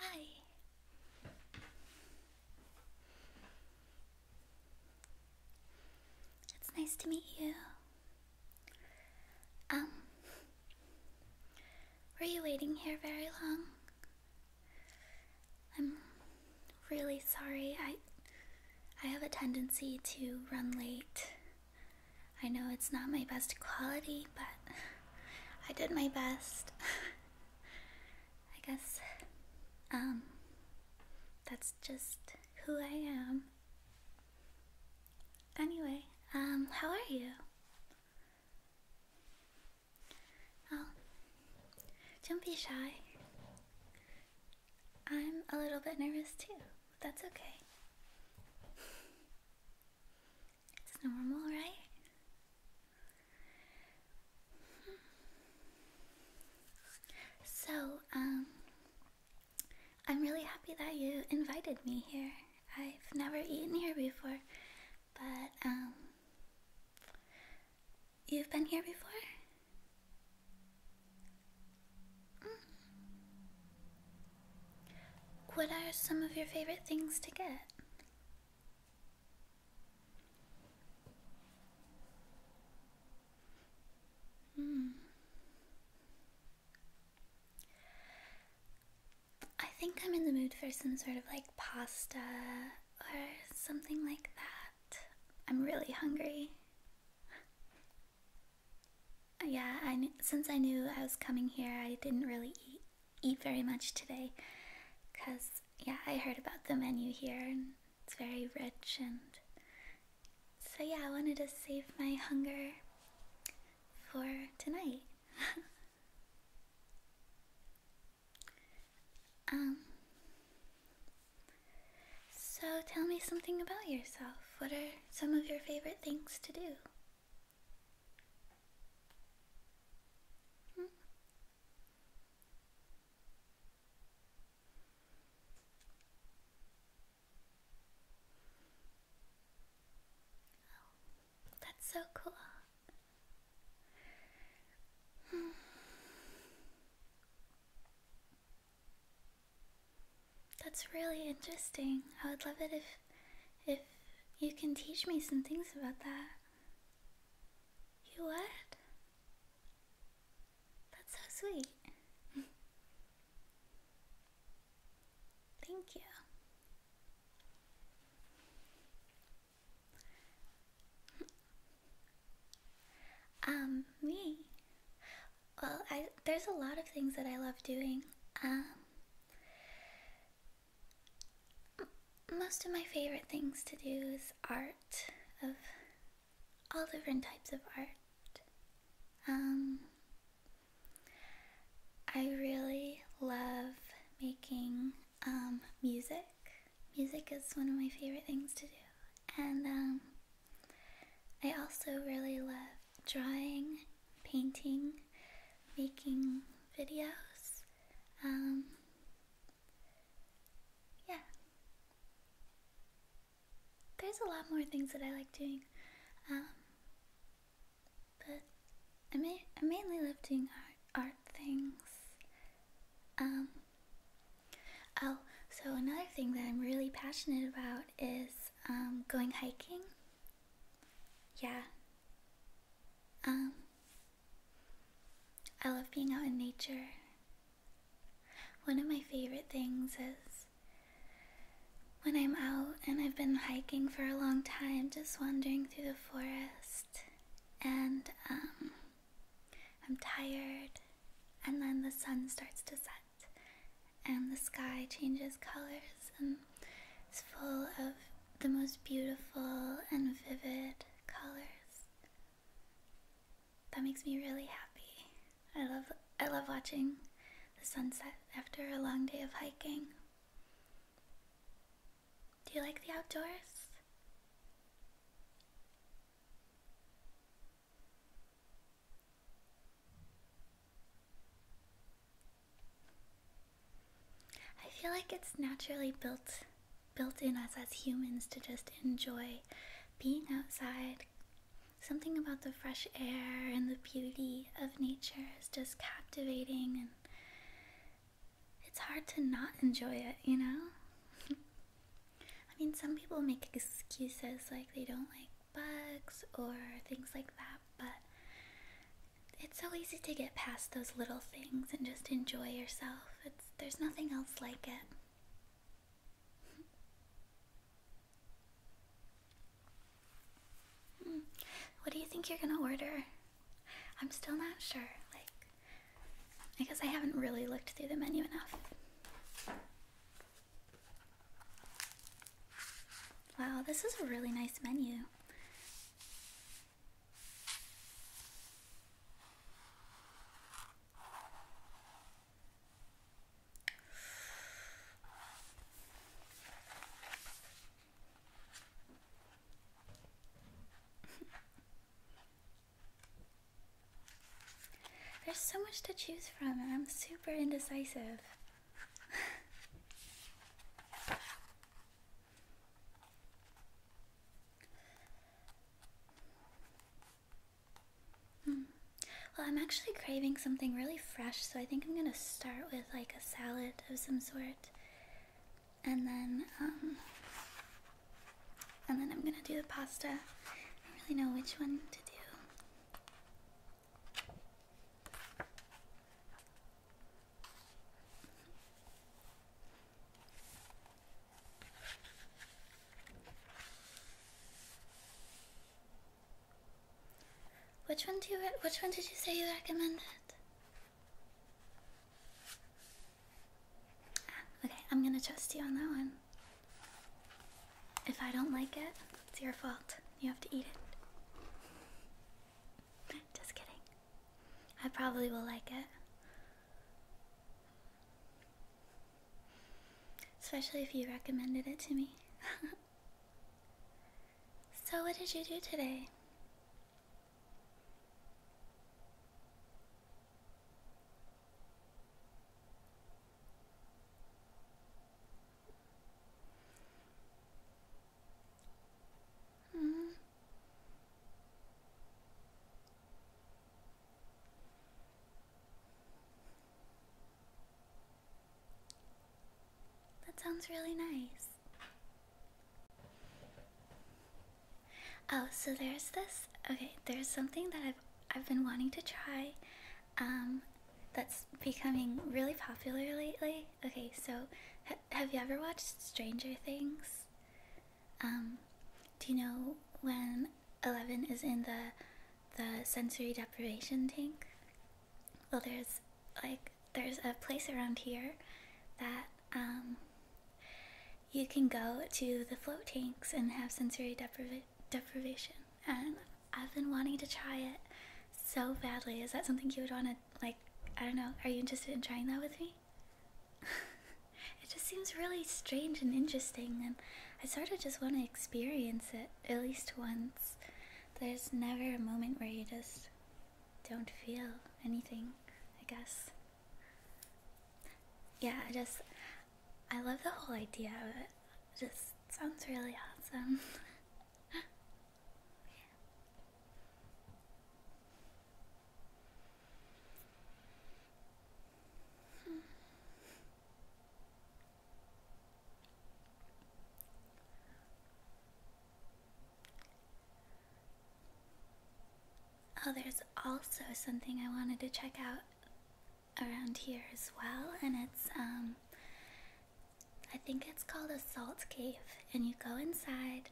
Hi. It's nice to meet you. Um, were you waiting here very long? I'm really sorry. I I have a tendency to run late. I know it's not my best quality, but I did my best. I guess um, that's just who I am. Anyway, um, how are you? Don't be shy. I'm a little bit nervous too. But that's okay. It's normal, right? So, um, I'm really happy that you invited me here. I've never eaten here before, but, um, you've been here before? Mm. What are some of your favorite things to get? Hmm. I think I'm in the mood for some sort of like pasta or something like that. I'm really hungry yeah, I since I knew I was coming here, I didn't really eat, eat very much today because, yeah, I heard about the menu here and it's very rich and so, yeah, I wanted to save my hunger for tonight. um, so tell me something about yourself. What are some of your favorite things to do? Hmm. Oh, that's so cool. Hmm. That's really interesting. I would love it if if you can teach me some things about that. You would? That's so sweet. Thank you. um, me. Well, I there's a lot of things that I love doing. Um, most of my favorite things to do is art of all different types of art. Um, I really love making um, music. Music is one of my favorite things to do. And um, I also really love drawing, painting, making videos. Um, yeah. There's a lot more things that I like doing, um, but I, ma I mainly love doing art, art things. Um, oh, so another thing that I'm really passionate about is um, going hiking. Yeah. Um, I love being out in nature. One of my favorite things is when I'm out and I've been hiking for a long time, just wandering through the forest, and um, I'm tired, and then the sun starts to set, and the sky changes colors, and it's full of the most beautiful and vivid colors. That makes me really happy. I love I love watching the sunset after a long day of hiking. Do you like the outdoors? I feel like it's naturally built built in us as humans to just enjoy being outside. Something about the fresh air and the beauty of nature is just captivating and it's hard to not enjoy it, you know? I mean, some people make excuses like they don't like bugs or things like that, but it's so easy to get past those little things and just enjoy yourself. It's there's nothing else like it. Hmm. What do you think you're gonna order? I'm still not sure. Like, I guess I haven't really looked through the menu enough. Wow, this is a really nice menu. There's so much to choose from, and I'm super indecisive. Hmm. Well, I'm actually craving something really fresh, so I think I'm gonna start with like a salad of some sort, and then um, and then I'm gonna do the pasta. I really know which one to do. Which one do you which one did you say you recommended? Okay, I'm gonna trust you on that one. If I don't like it, it's your fault. You have to eat it. Just kidding. I probably will like it. Especially if you recommended it to me. so, what did you do today? Mm. That sounds really nice. Oh, so there's this. Okay, there's something that I've I've been wanting to try. Um, that's becoming really popular lately. Okay, so have you ever watched Stranger Things? Um, do you know when Eleven is in the the sensory deprivation tank? Well, there's like there's a place around here that um, you can go to the float tanks and have sensory deprivation. And I've been wanting to try it so badly. Is that something you would want to like I don't know, are you interested in trying that with me? it just seems really strange and interesting and I sort of just want to experience it at least once. There's never a moment where you just don't feel anything, I guess. Yeah, I just I love the whole idea of it just sounds really awesome. Oh, there's also something I wanted to check out around here as well, and it's um I think it's called a salt cave, and you go inside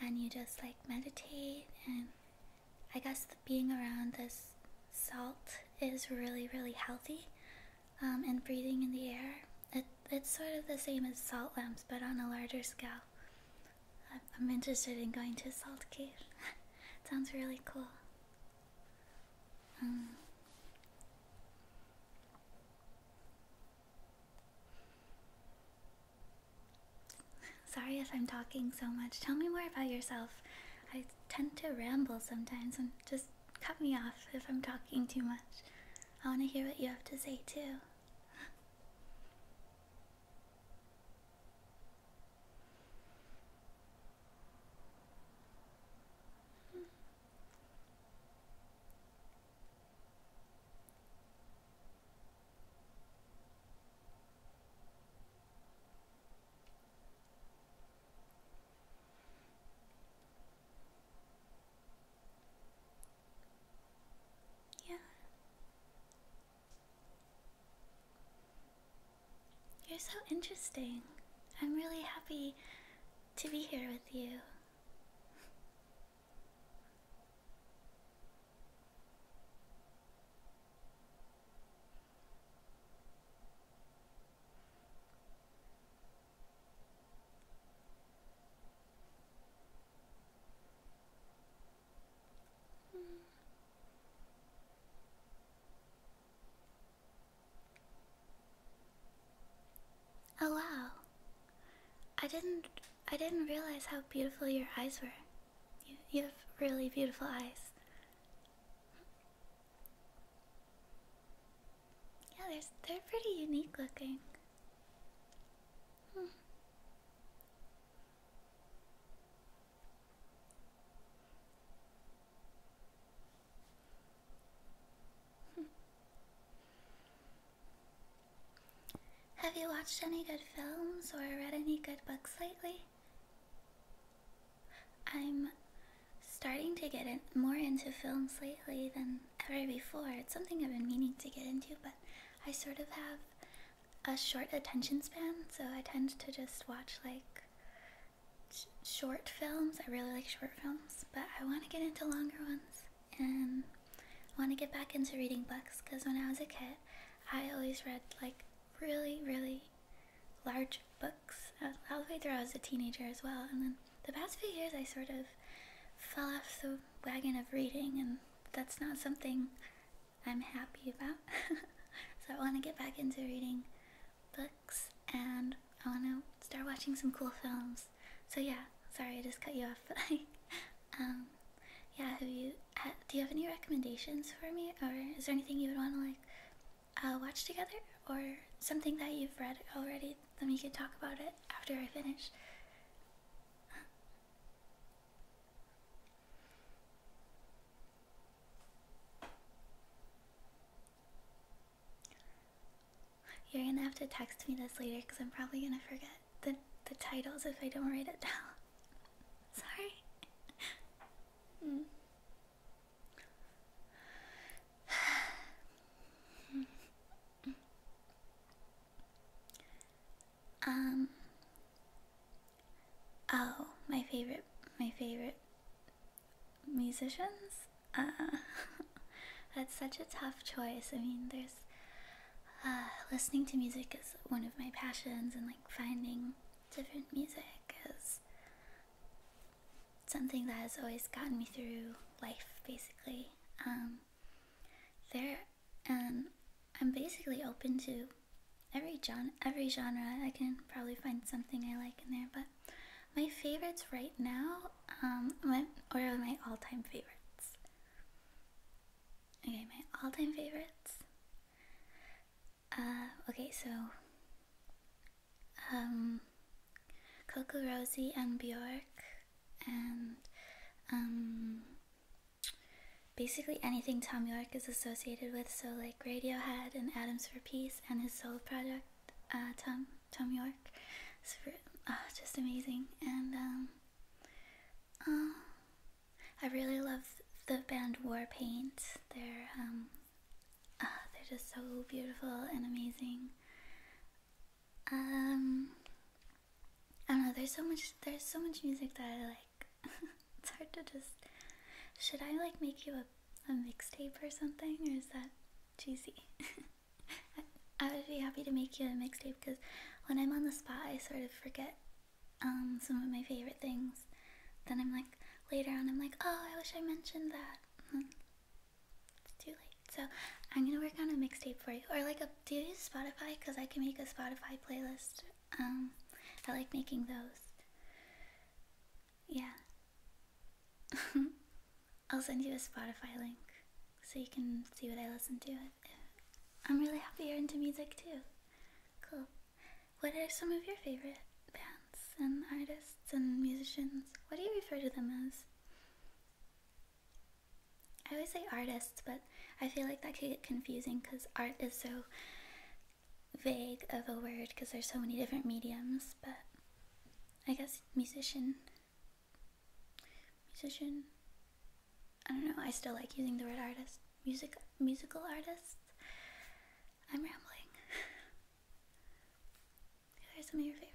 and you just like meditate. And I guess being around this salt is really, really healthy. Um, and breathing in the air, it's sort of the same as salt lamps, but on a larger scale. I'm, interested in going to a salt cave. Sounds really cool. Um, Sorry if I'm talking so much. Tell me more about yourself. I tend to ramble sometimes and just cut me off if I'm talking too much. I want to hear what you have to say too. Yeah. You're so interesting. I'm really happy to be here with you. Oh wow. I didn't I didn't realize how beautiful your eyes were. You, have really beautiful eyes. Yeah, they're, they're pretty unique looking. Hmm. Hmm. Have you watched any good films or read any good books lately? I'm starting to get more into films lately than ever before. It's something I've been meaning to get into, but I sort of have a short attention span, so I tend to just watch like short films. I really like short films, but I want to get into longer ones and I want to get back into reading books because when I was a kid, I always read like really, really large books all the way through. I was a teenager as well, and then the past few years, I sort of fell off the wagon of reading, and that's not something I'm happy about. so I want to get back into reading books, and I want to start watching some cool films. So yeah, sorry I just cut you off, but like, um, yeah, have you? do you have any recommendations for me, or is there anything you would want to like uh, watch together, or something that you've read already? Then we could talk about it after I finish. You're gonna have to text me this later because I'm probably gonna forget the, the titles if I don't write it down. Sorry. Hmm. um oh my favorite my favorite musicians uh, that's such a tough choice i mean there's uh, listening to music is one of my passions, and like finding different music is something that has always gotten me through life, basically. Um, there, and um, I'm basically open to every genre. I can probably find something I like in there. But my favorites right now, um, my, or my all-time favorites. Okay, my all-time favorites. Uh, okay, so um, Coco Rosie and Bjork, and um, basically anything Tom York is associated with. So like Radiohead and Adams for Peace and his solo project, uh, Tom Tom York. Ah, just amazing and. Um, um, I really love the band Warpaint. They're um, uh, they're just so beautiful and amazing. Um, I don't know. There's so much. There's so much music that I like. it's hard to just. Should I like make you a a mixtape or something, or is that cheesy? I would be happy to make you a mixtape because when I'm on the spot, I sort of forget um, some of my favorite things. Then I'm like, later on, I'm like, oh, I wish I mentioned that. Hmm. it's too late. So I'm gonna work on a mixtape for you, or like a do you use Spotify? Because I can make a Spotify playlist. Um, I like making those. Yeah. I'll send you a Spotify link so you can see what I listen to. I'm really happy you're into music too. Cool. What are some of your favorite bands and artists and musicians? What do you refer to them as? I always say artists, but I feel like that could get confusing because art is so vague of a word because there's so many different mediums, but I guess musician musician. I don't know. I still like using the word artist. Music, musical artist. I'm rambling. Who some of your favorites?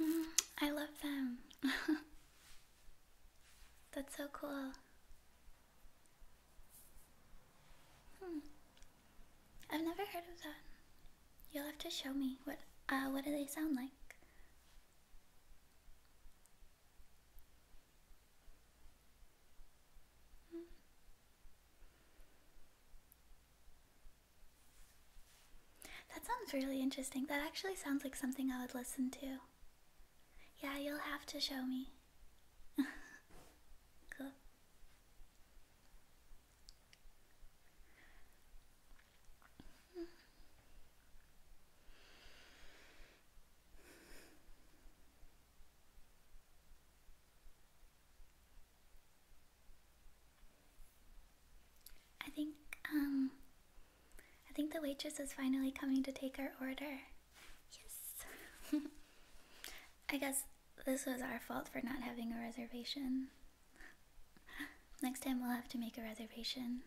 Mm, I love them. That's so cool. Hmm. I've never heard of that. You'll have to show me what uh what do they sound like? Hmm. That sounds really interesting. That actually sounds like something I would listen to. Yeah, you'll have to show me. I think um, I think the waitress is finally coming to take our order. Yes. I guess this was our fault for not having a reservation. Next time we'll have to make a reservation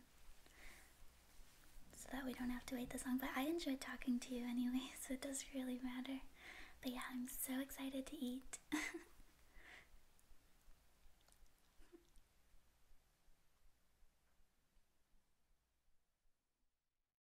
so that we don't have to wait this long. But I enjoyed talking to you anyway, so it doesn't really matter. But yeah, I'm so excited to eat.